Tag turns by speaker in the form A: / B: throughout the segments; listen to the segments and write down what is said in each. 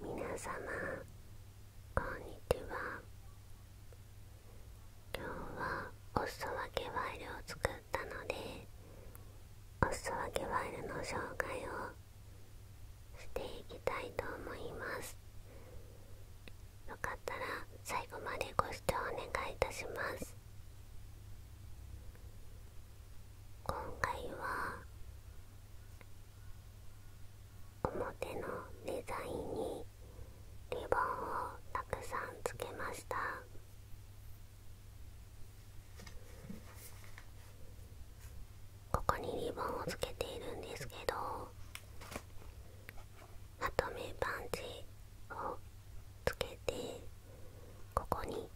A: 皆様こんにちは今日はおすそ分けワイルを作ったのでおすそ分けワイルの紹介をしていきたいと思いますよかったら最後までご視聴お願いいたします今回は表のデザインにリボンをたくさんつけましたここにリボンをつけているんですけどまとめパンチをつけてここに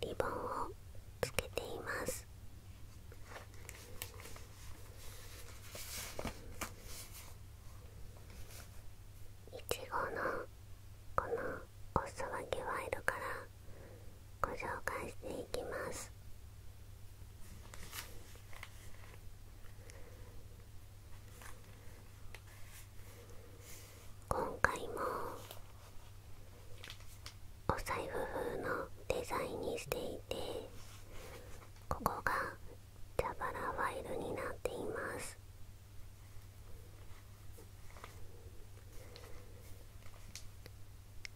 A: リボンをつけていますいちごのこのおすそ分けワイドからご紹介していきます今回もお財布風のデザインにしていてここが蛇腹ファイルになっています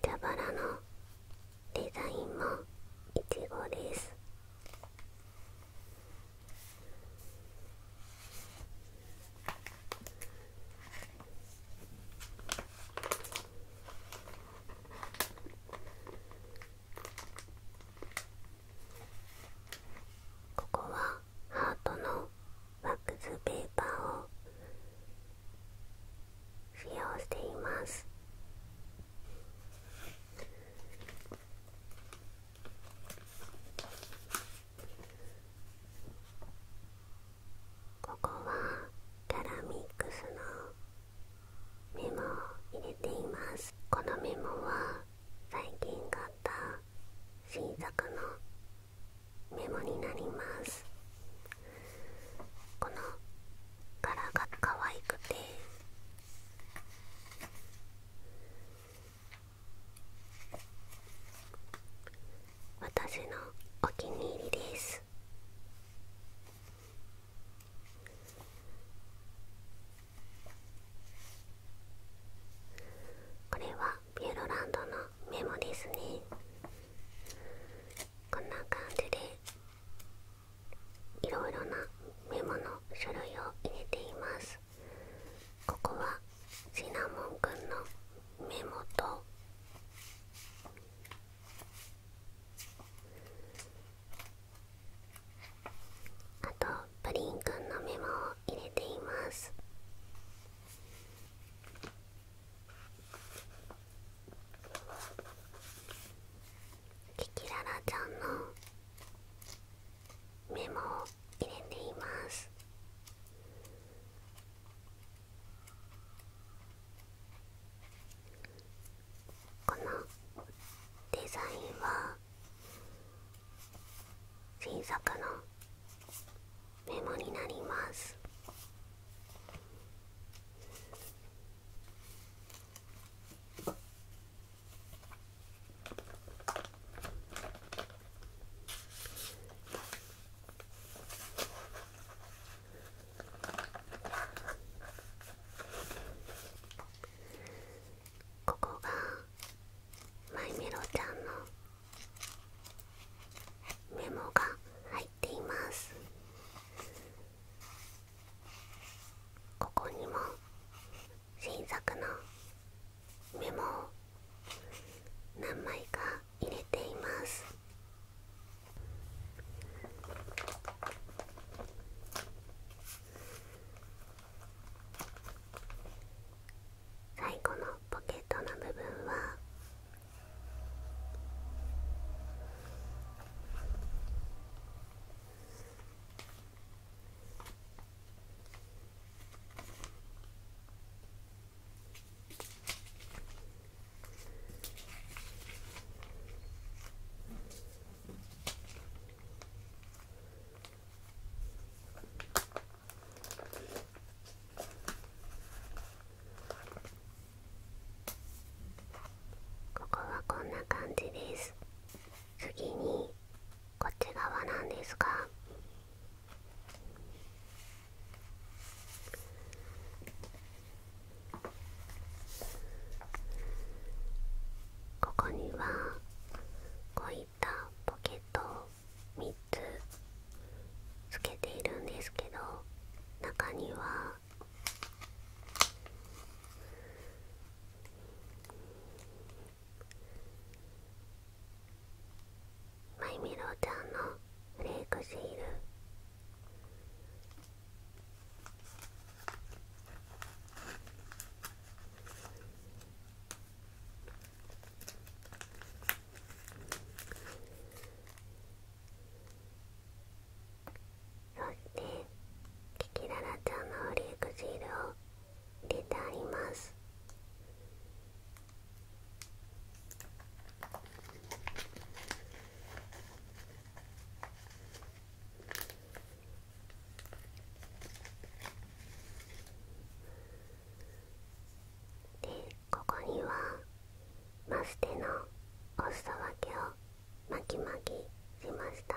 A: 蛇腹のデザインもいちごですここはハートのワックスペーパーを使用していますここはキャラミックスのメモを入れていますこのメモは最近買った新作のメモになりますこの柄が可愛くて私のお気に入りですこれはピューロランドのメモですねこんな感じでいろいろなメモの種類を入れていますここはシナモンくんのモと。あとプリンくんのメモを入れていますキキララちゃんのメモを入れていますこのデザインは新作のメモになりますここがマイメロちゃんのメモが入っていますここにも新作のメモを何枚か入れています最後のポケットの部分はここはこんな感じです次にこっち側なんですがここにはこういったポケットを3つつけているんですけど中にはマイメロちゃんのフレークシールそしてキキララちゃんのフレークシールを入れてあります。でここにはマステのお裾分けを巻き巻きしました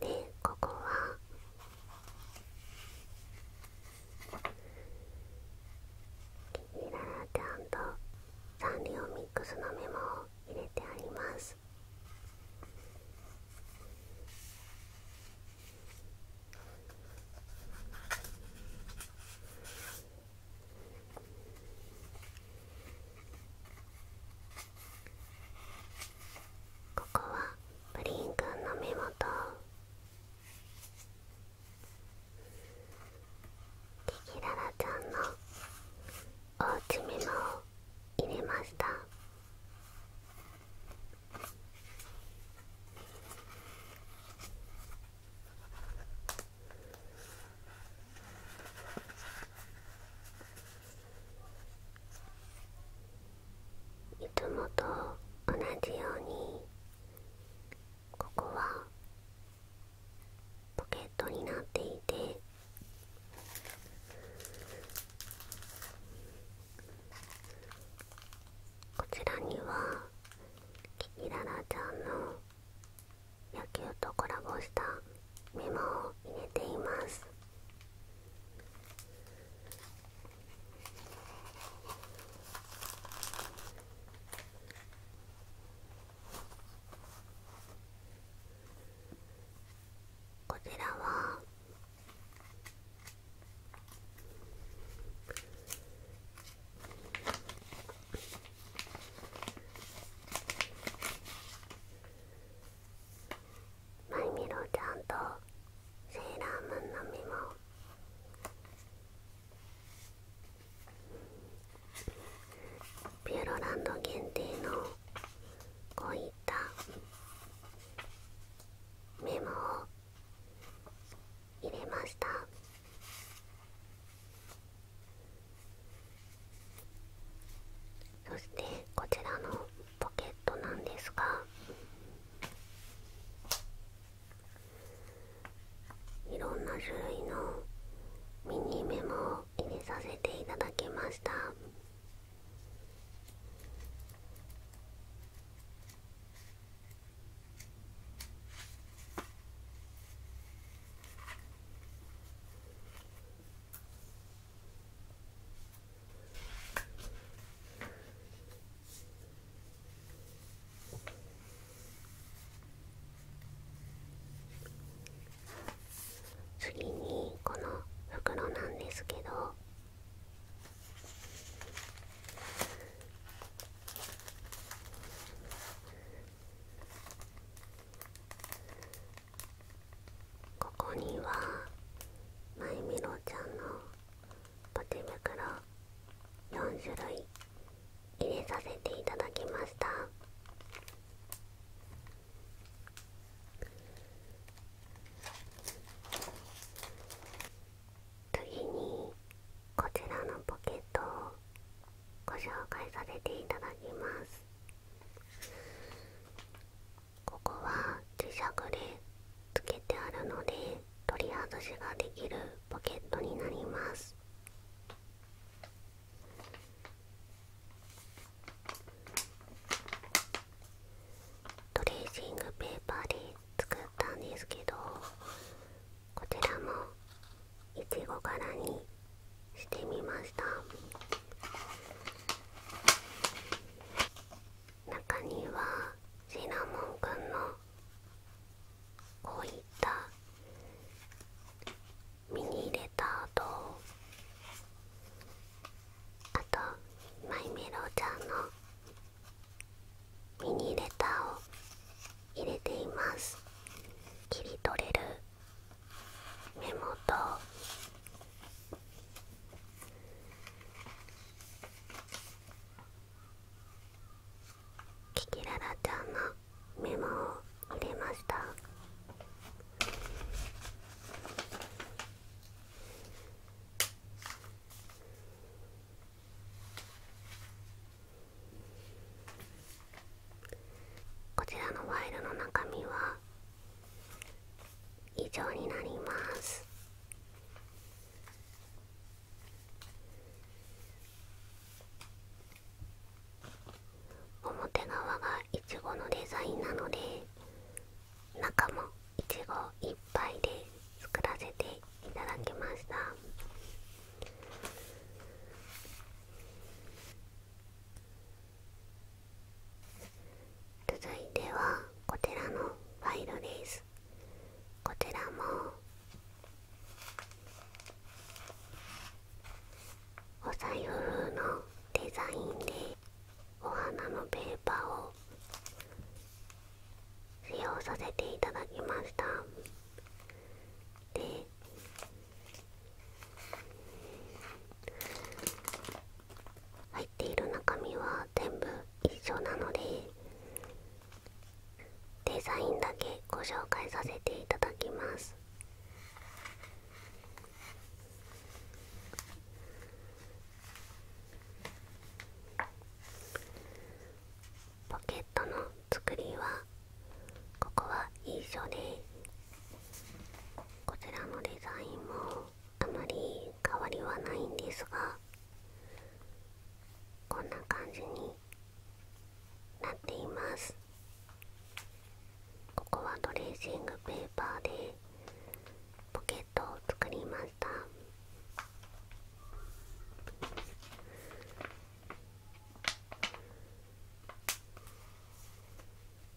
A: でここはキララちゃんとサンリオミックスのメモを入れてありますここはプリンくんの目元テキララちゃんのおうちメモを入れましたこいつもと同じようにここはポケットになっていてこちらにはキキララちゃんの野球とコラボしたメモを入れていますこちらはマイミロちゃんとセーラームーンのメモ。ピューロランド限定のこういったメモを入れましたそしてこちらのポケットなんですがいろんな種類のミニメモを入れさせていただきました次にこの袋なんですけどここにはまいみろちゃんのポテ袋4種類入れさせていただきました次にこちらのポケットをご紹介させていただきますここは磁石でつけてあるので取り外しができるポケットになりますトレーシングペーパーで作ったんですけどこちらもいちご柄にしてみました。中にはシナモンくんのこういったミニレターとあとマイメロちゃんのミニレターを入れています切り取れるメモと。キキララちゃんのメモを入れましたこちらのファイルの中身は以上になります表側がイチゴのデザインなので中もイチゴいっぱいで作らせていただきました続いてはこちらのファイルですこちらもお財布風のデザインでお花のペーパーを使用させていただきましたで入っている中身は全部一緒なのでデザインだけご紹介させていただきますポケットの作りはここは一緒でこちらのデザインもあまり変わりはないんですがこんな感じになっていますここはトレーシングペーパーでポケットを作りましたそ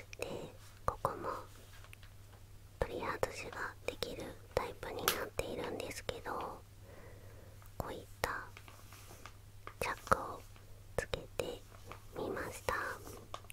A: してここも取り外しができるタイプになっているんですけどこういったチャックをつけてみました。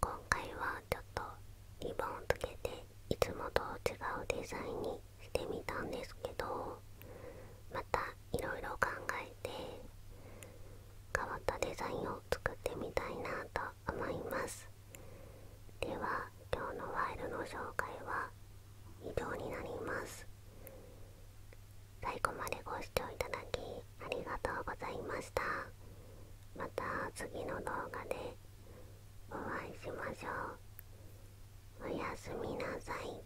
A: 今回はちょっとリボンをつけていつもと違うデザインにしてみたんですけどまたいろいろ考え変わったデザインを作ってみたいなと思いますでは今日のフイルの紹介は以上になります最後までご視聴いただきありがとうございましたまた次の動画でお会いしましょうおやすみなさい